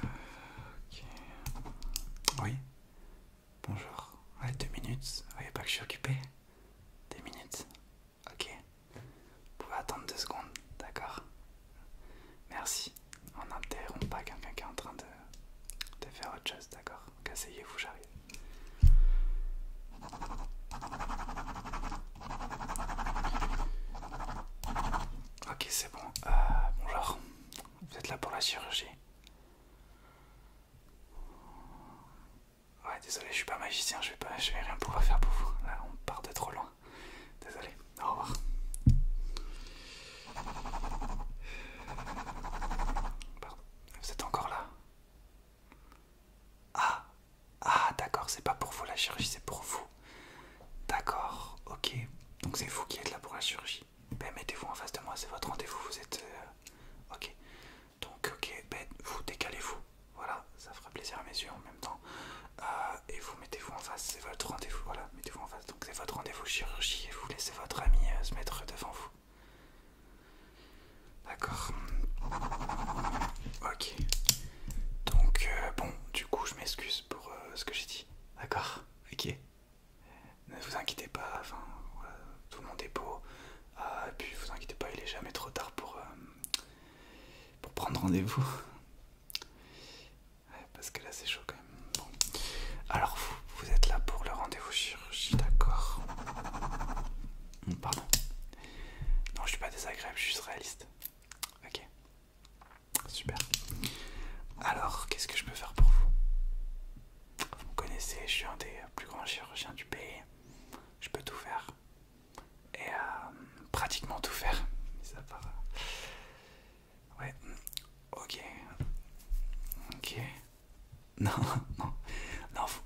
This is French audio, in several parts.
Ok. Oui. Bonjour. Ouais, deux minutes. Vous voyez pas que je suis occupé des minutes. Ok. Vous pouvez attendre deux secondes, d'accord Merci. On n'interrompt pas quelqu'un qui est en train de, de faire autre chose, d'accord Asseyez-vous, j'arrive. Ok, c'est bon. Euh, bonjour. Vous êtes là pour la chirurgie Ouais, désolé, je suis pas magicien, je vais, pas, je vais rien pouvoir faire pour vous. Là, on part de trop loin. Désolé, au revoir. Pardon, vous êtes encore là Ah, ah, d'accord, c'est pas pour vous la chirurgie, c'est pour vous. D'accord, ok. Donc c'est vous qui êtes là pour la chirurgie. Ben mettez-vous en face de moi, c'est votre rendez-vous, vous êtes... Euh, ok. Donc ok, ben vous décalez-vous. Voilà, ça fera plaisir à mes yeux en même temps. Euh, et vous mettez-vous en face, c'est votre rendez-vous. Voilà, mettez-vous en face. Donc c'est votre rendez-vous chirurgie et vous laissez votre ami euh, se mettre devant vous. D'accord. Ok. Donc, euh, bon, du coup, je m'excuse pour euh, ce que j'ai dit. D'accord Ok. Ne vous inquiétez pas, enfin, tout le monde est beau. Ah, et puis, vous inquiétez pas, il est jamais trop tard pour, euh, pour prendre rendez-vous. parce que là, c'est chaud quand même. Alors, vous, êtes là pour le rendez-vous chirurgie, d'accord mmh, Pardon. Non, je suis pas désagréable, je suis réaliste. Ok. Super. Alors, qu'est-ce que je peux faire pour vous Vous me connaissez, je suis un des plus grands chirurgiens du pays. Je peux tout faire. Et euh, pratiquement tout faire. Mis à part... Euh, ouais. Ok. Ok. Non, non. Non, vous,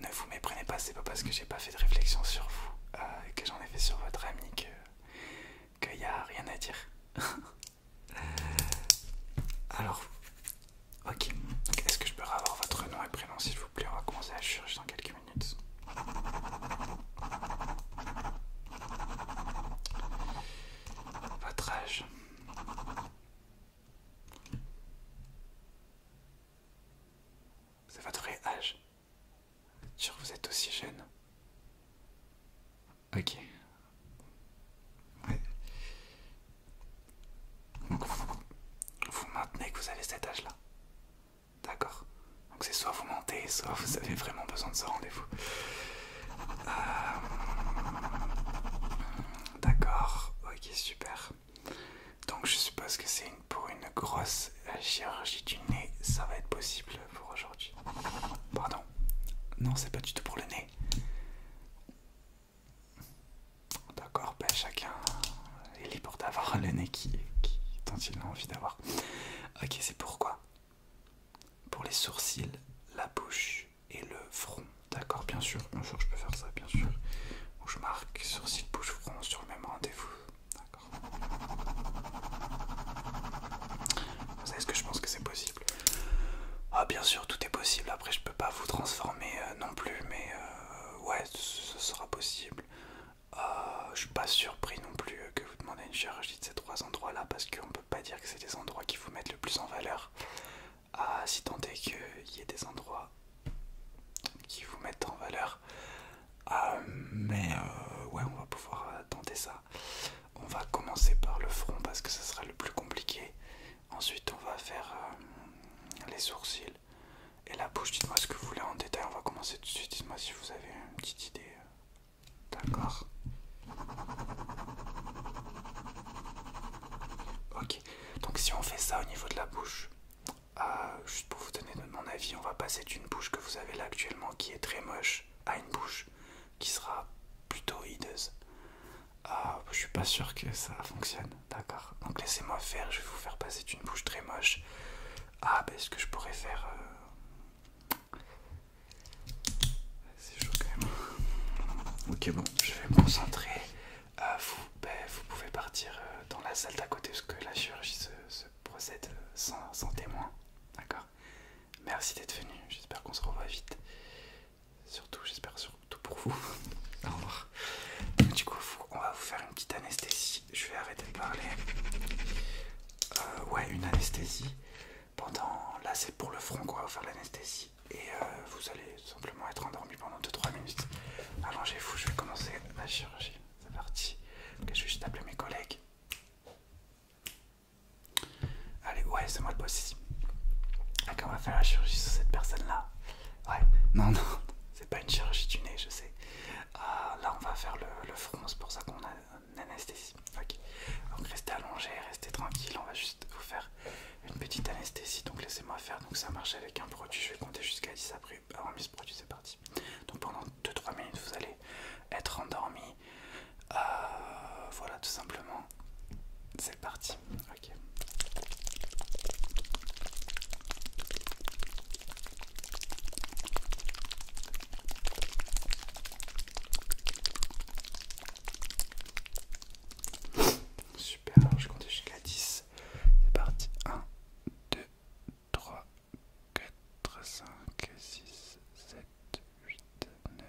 ne vous méprenez pas, c'est pas parce que j'ai pas fait de réflexion sur vous euh, que j'en ai fait sur votre ami qu'il que n'y a rien à dire. Alors, ok. Est-ce que je peux avoir votre nom et prénom s'il vous plaît On va commencer à dans quelques minutes. Votre âge c'est votre vrai âge. Sûr, vous êtes aussi jeune. Ok. Donc vous, maintenez que vous avez cet âge-là. D'accord. Donc c'est soit vous mentez, soit vous avez vraiment besoin de ce rendez-vous. Euh, d'accord. Ok, super. Donc je suppose que c'est pour une grosse chirurgie du nez, ça va être possible pour aujourd'hui. Pardon. Non, c'est pas du tout pour le nez. D'accord, ben chacun est libre d'avoir le nez qui, dont il a envie d'avoir. Ok, c'est pourquoi Pour les sourcils, la bouche et le front. D'accord, bien sûr, bien sûr, je peux faire ça, bien sûr je marque site bouche front sur le même rendez-vous. D'accord. Vous savez ce que je pense que c'est possible Ah bien sûr, tout est possible. Après, je peux pas vous transformer euh, non plus, mais euh, ouais, ce sera possible. Je euh, je suis pas surpris non plus que vous demandez une chirurgie de ces trois endroits-là parce qu'on peut pas dire que c'est des endroits qui vous mettent le plus en valeur. Ah, si tant est qu'il y ait des endroits qui vous mettent en valeur. Ah, mais euh, ouais, on va pouvoir euh, tenter ça. On va commencer par le front parce que ça sera le plus compliqué. Ensuite, on va faire euh, les sourcils et la bouche. Dites-moi ce que vous voulez en détail. On va commencer tout de suite. Dites-moi si vous avez une petite idée. D'accord. Ok. Donc si on fait ça au niveau de la bouche, ah, juste pour vous donner mon avis, on va passer d'une bouche que vous avez là actuellement qui est très moche à une bouche qui sera plutôt hideuse. Ah, je suis pas sûr que ça fonctionne, d'accord Donc laissez-moi faire, je vais vous faire passer d'une bouche très moche Ah, ben, ce que je pourrais faire. Euh, c'est chaud quand même. Ok, bon, je vais me concentrer. Euh, ben, vous, pouvez partir euh, dans la salle d'à côté parce que la chirurgie se, procède euh, sans, témoin. D'accord Merci d'être venu. J'espère qu'on se revoit vite. Surtout, j'espère surtout pour vous. Au revoir. Du coup, on va vous faire une petite anesthésie. Je vais arrêter de parler. ouais, une anesthésie. Pendant. Là, c'est pour le front qu'on va vous faire l'anesthésie. Et vous allez simplement être endormi pendant 2-3 minutes. Allongez-vous, je vais commencer la chirurgie. C'est parti. Ok, je vais juste appeler mes collègues. Allez, ouais, c'est moi le boss Ok, on va faire la chirurgie sur cette personne-là. Ouais, non, non, c'est pas une chirurgie du nez, je sais. Ah, là, on va faire le, front, c'est pour ça qu'on a une anesthésie. Ok, donc restez allongé, restez tranquille, on va juste vous faire une petite anesthésie, donc laissez-moi faire. Donc ça marche avec un produit, je vais compter jusqu'à 10 après avoir mis ce produit, c'est parti. Donc pendant 2-3 minutes, vous allez être endormi. Euh, voilà, tout simplement. C'est parti. Ok super, alors je compte jusqu'à 10. C'est parti, 1, 2, 3, 4, 5, 6, 7, 8, 9,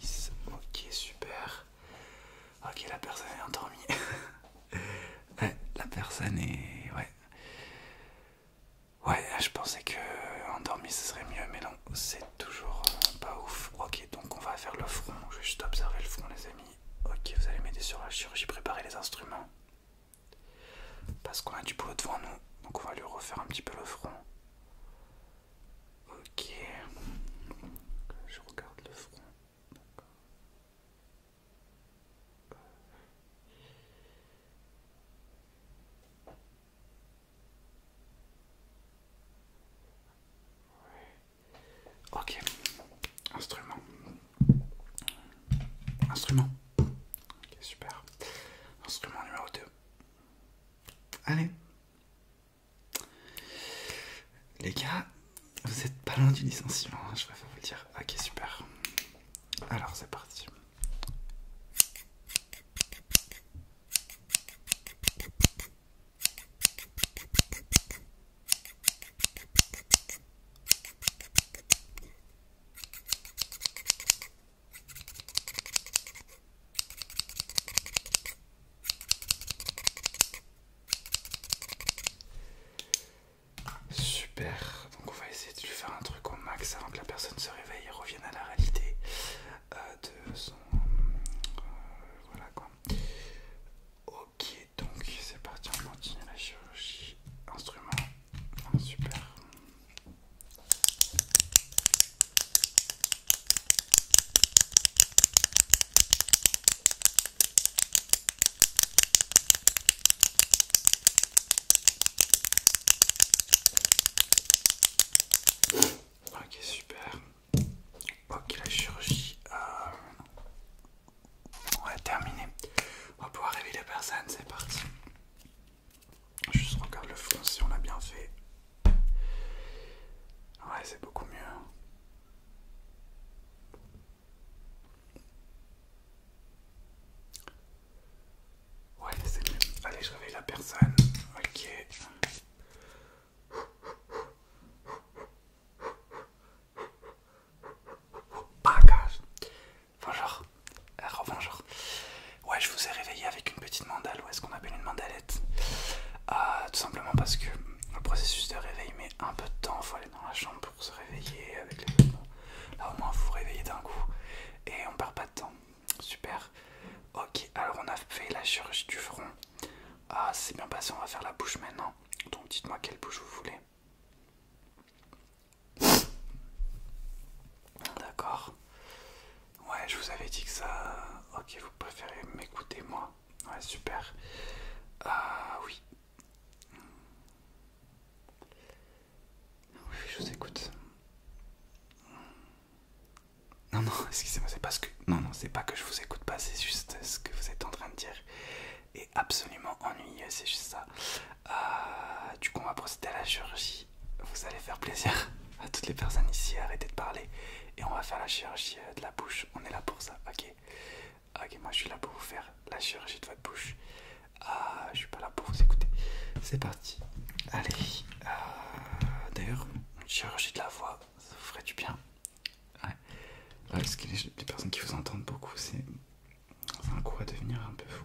10. Ok, super. Ok, la personne est endormie. ouais, la personne est... Ouais. Ouais, je pensais que endormi ce serait mieux, mais non, c'est toujours pas ouf. Ok, donc on va faire le front. Je vais juste observer le front, les amis. Ok, vous allez m'aider sur la chirurgie, préparer les instruments. Parce qu'on a du boulot devant nous, donc on va lui refaire un petit peu le front. Ok, je regarde le front. Ok, instrument. Instrument. Ok, super. Instrument numéro 2. Allez. Les gars, vous êtes pas loin du licenciement, hein, je préfère vous le dire. Ok, super. Alors, c'est parti. Super, donc on va essayer de lui faire un truc au max avant que la personne se réveille et revienne à la réalité euh, de son... Euh, voilà quoi. Ok, donc c'est parti, on continue la chirurgie. Instrument, ah, super. Ok, super. Ok, la chirurgie euh, on va terminer. On va pouvoir réveiller la personne, c'est parti. Juste regarde le fond, si on l'a bien fait. Ouais, c'est beaucoup mieux. Ouais, c'est mieux. Allez, je réveille la personne. Ok. Bonjour, enfin Bonjour. Euh, ouais, je vous ai réveillé avec une petite mandale, ou est-ce qu'on appelle une mandalette euh, Tout simplement parce que le processus de réveil met un peu de temps. Faut aller dans la chambre pour se réveiller avec les vêtements. Là, au moins, vous vous réveillez d'un coup et on perd pas de temps. Super. Ok, alors on a fait la chirurgie du front. Ah, c'est bien passé, on va faire la bouche maintenant. Donc dites-moi quelle bouche vous voulez. D'accord. Ouais, je vous avais dit que ça... Ok, vous préférez m'écouter, moi. Ouais, super. Ah, oui. Oui, je vous écoute. Non, non, excusez-moi, c'est pas que. Non, non, c'est pas que je vous écoute pas, c'est juste ce que vous êtes en train de dire est absolument ennuyeux, c'est juste ça. Euh, du coup, on va procéder à la chirurgie. Vous allez faire plaisir à toutes les personnes ici, arrêtez de parler et on va faire la chirurgie euh, de la bouche. On est là pour ça, ok Ok, moi je suis là pour vous faire la chirurgie de votre bouche. Ah, je suis pas là pour vous écouter. C'est parti. Allez, d'ailleurs, chirurgie de la voix, ça, vous ferait du bien. Ouais. parce que les, personnes qui vous entendent beaucoup, c'est un coup à devenir un peu fou.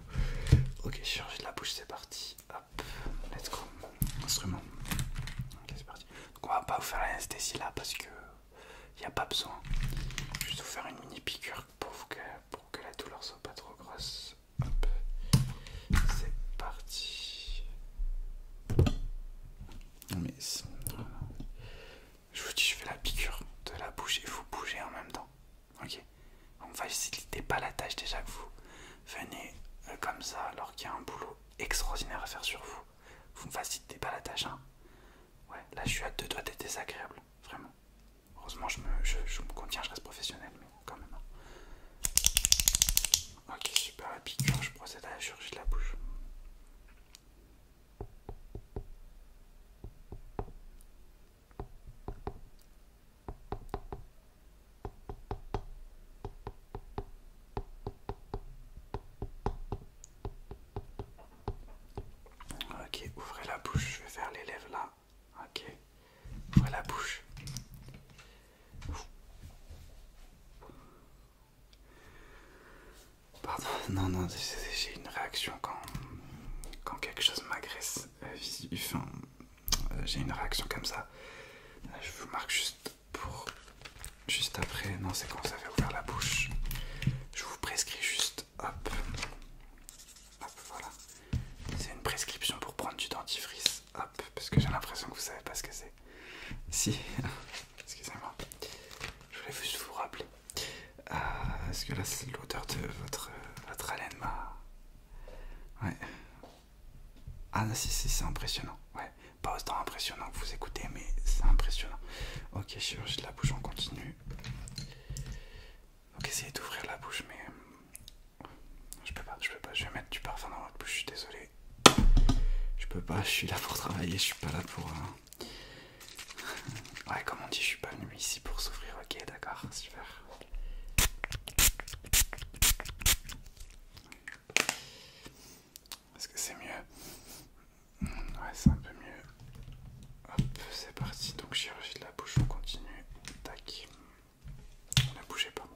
Ok, chirurgie de la bouche, c'est parti. Hop, let's go. Instrument. Ok, c'est parti. Donc, on va pas vous faire l'anesthésie là parce que n'y a pas besoin. juste vous faire une mini piqûre pour, que, pour que la douleur soit pas trop grosse. Hop, c'est parti mais je vous dis, je fais la piqûre de la bouche et vous bougez en même temps. Ok Vous ne facilitez pas la tâche déjà que vous venez euh, comme ça alors qu'il y a un boulot extraordinaire à faire sur vous. Vous ne facilitez pas la tâche. Hein ouais, là je suis à deux doigts d'être désagréable. Vraiment. Heureusement je me, je, me contiens, je reste professionnel, mais quand même. Hein. Ok, super, la je procède à la chirurgie de la bouche. Ok, ouvrez la bouche, je vais faire les lèvres là. Ok, ouvrez la bouche. Pardon, non, non, j'ai une réaction quand, quand quelque chose m'agresse. Euh, enfin, euh, j'ai une réaction comme ça. Euh, je vous marque juste pour. Juste après. Non, c'est quand ça fait ouvrir la bouche. Je vous prescris juste. Hop. Hop, voilà. C'est une prescription pour prendre du dentifrice. Hop parce que j'ai l'impression que vous savez pas ce que c'est. Si, excusez-moi, je voulais juste vous rappeler. Euh, est-ce que là, c'est l'odeur de votre, euh, haleine Ouais. Ah, non, si, si, c'est impressionnant. Ouais, pas autant impressionnant que vous écoutez, mais c'est impressionnant. Ok, chirurgie de la bouche, on continue. Donc, essayez d'ouvrir la bouche, mais euh, je peux pas, je peux pas, je vais mettre du parfum dans votre bouche, je suis désolé. Je peux pas, je suis là pour travailler, je suis pas là pour... Euh, ouais, comme on dit, je suis pas venu ici pour souffrir, ok, d'accord, super. Est-ce que c'est mieux Ouais, c'est un peu mieux. Hop, c'est parti, donc chirurgie de la bouche, on continue. Tac. Ne bougez pas.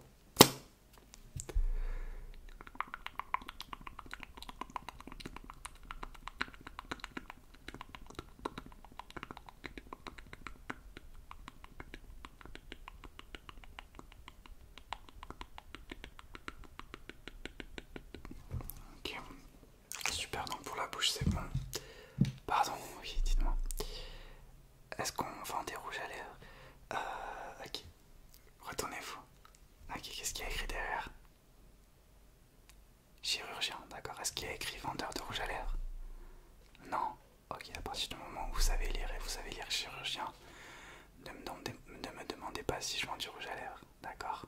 Ok, super, donc pour la bouche c'est bon. Pardon, oui, dites-moi. Est-ce qu'on vend des rouges à lèvres euh, Ok. Retournez-vous. Ok, qu'est-ce qu'il y a écrit derrière Chirurgien, d'accord. Est-ce qu'il y a écrit vendeur de rouges à l'air Non. Ok, à partir du moment où vous savez lire et vous savez lire chirurgien, ne me, demandez, pas si je vends du rouge à l'air, d'accord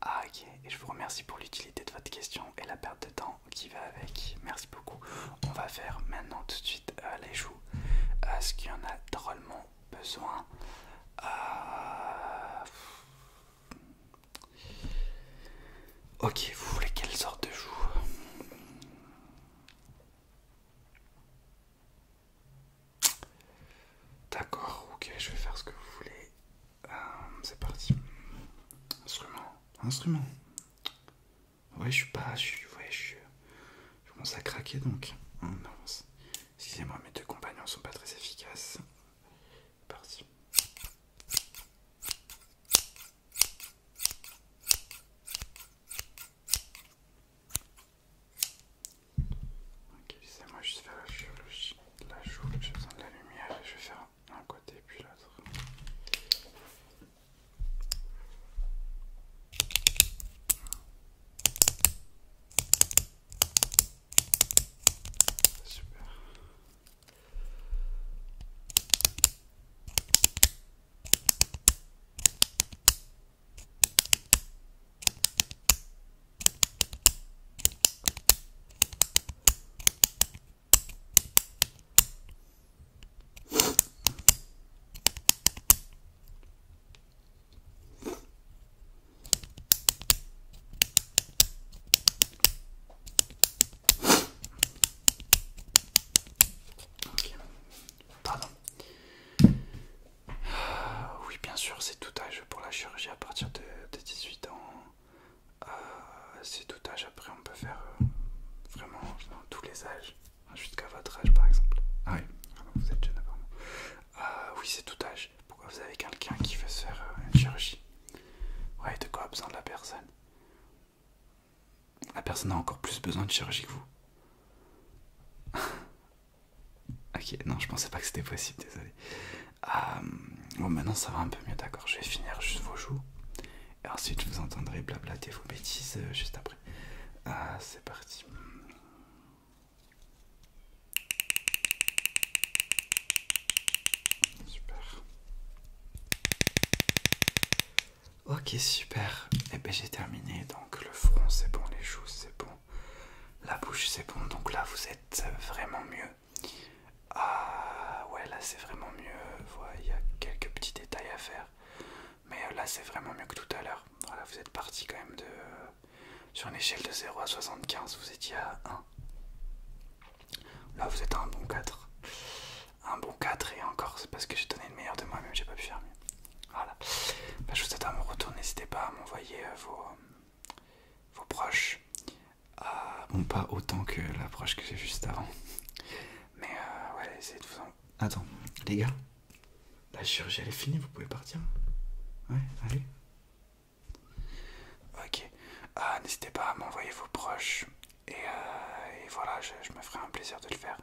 Ah ok, et je vous remercie pour l'utilité de votre question et la perte de temps qui va avec. Merci beaucoup. On va faire maintenant tout de suite euh, les joues. est euh, ce qu'il y en a drôlement besoin. Euh, ok, vous voulez quelle sorte de joues D'accord, ok, je vais faire ce que vous voulez. C'est parti. Instrument. Instrument. Ouais, je suis pas. Je suis. Ouais, je commence à craquer donc. Oh non, Excusez-moi, mes deux compagnons sont pas très efficaces. Parti. Ok, c'est moi, je vais faire la chirurgie de la joue, j'ai besoin de la lumière et je vais faire un côté puis l'autre. Super. Oui, bien sûr, c'est tout âge pour la chirurgie à partir de, de 18 ans. Euh, c'est tout âge, après on peut faire euh, vraiment tous les âges, jusqu'à votre âge par exemple. Ah oui, vous êtes jeune apparemment. Euh, oui, c'est tout âge. Pourquoi vous avez quelqu'un qui veut se faire une chirurgie Ouais, de quoi a besoin la personne La personne a encore plus besoin de chirurgie que vous. ok, non, je pensais pas que c'était possible, désolé. bon, maintenant ça va un peu mieux, d'accord. Je vais finir juste vos joues. Et ensuite, vous entendrez blablater vos bêtises euh, juste après. Ah, c'est parti. Super. Ok, super. Et eh bien, j'ai terminé. Donc le front c'est bon, les joues c'est bon, la bouche c'est bon. Donc là vous êtes vraiment mieux. Ah ouais, là c'est vraiment mieux. il y a quelques petits détails à faire. Mais euh, là c'est vraiment mieux que tout à l'heure. Voilà, vous êtes parti quand même de... Sur une échelle de 0 à 75, vous étiez à 1. Là vous êtes à un bon 4. Un bon 4 et encore, c'est parce que j'ai donné le meilleur de moi-même, j'ai pas pu faire mieux. Voilà. Bah, je vous attends à mon retour, n'hésitez pas à m'envoyer euh, vos, euh, vos proches, ah, bon, pas autant que l'approche que j'ai juste avant. Mais euh, ouais, essayez de vous en... Attends, les gars, la chirurgie elle est finie, vous pouvez partir. Ouais, allez. Ok, ah, n'hésitez pas à m'envoyer vos proches. Et, euh, voilà, je, me ferai un plaisir de le faire.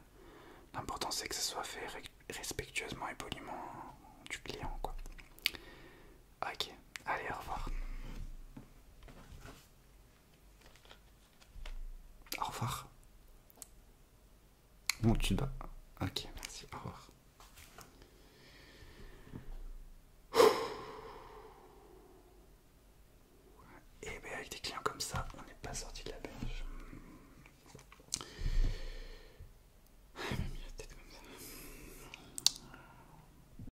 L'important c'est que ce soit fait respectueusement et poliment du client, quoi. Ok, allez, au revoir. Au revoir. Bon, tu vas, Ok, merci. Au revoir. Et bien, avec des clients comme ça, on n'est pas sorti de la berge.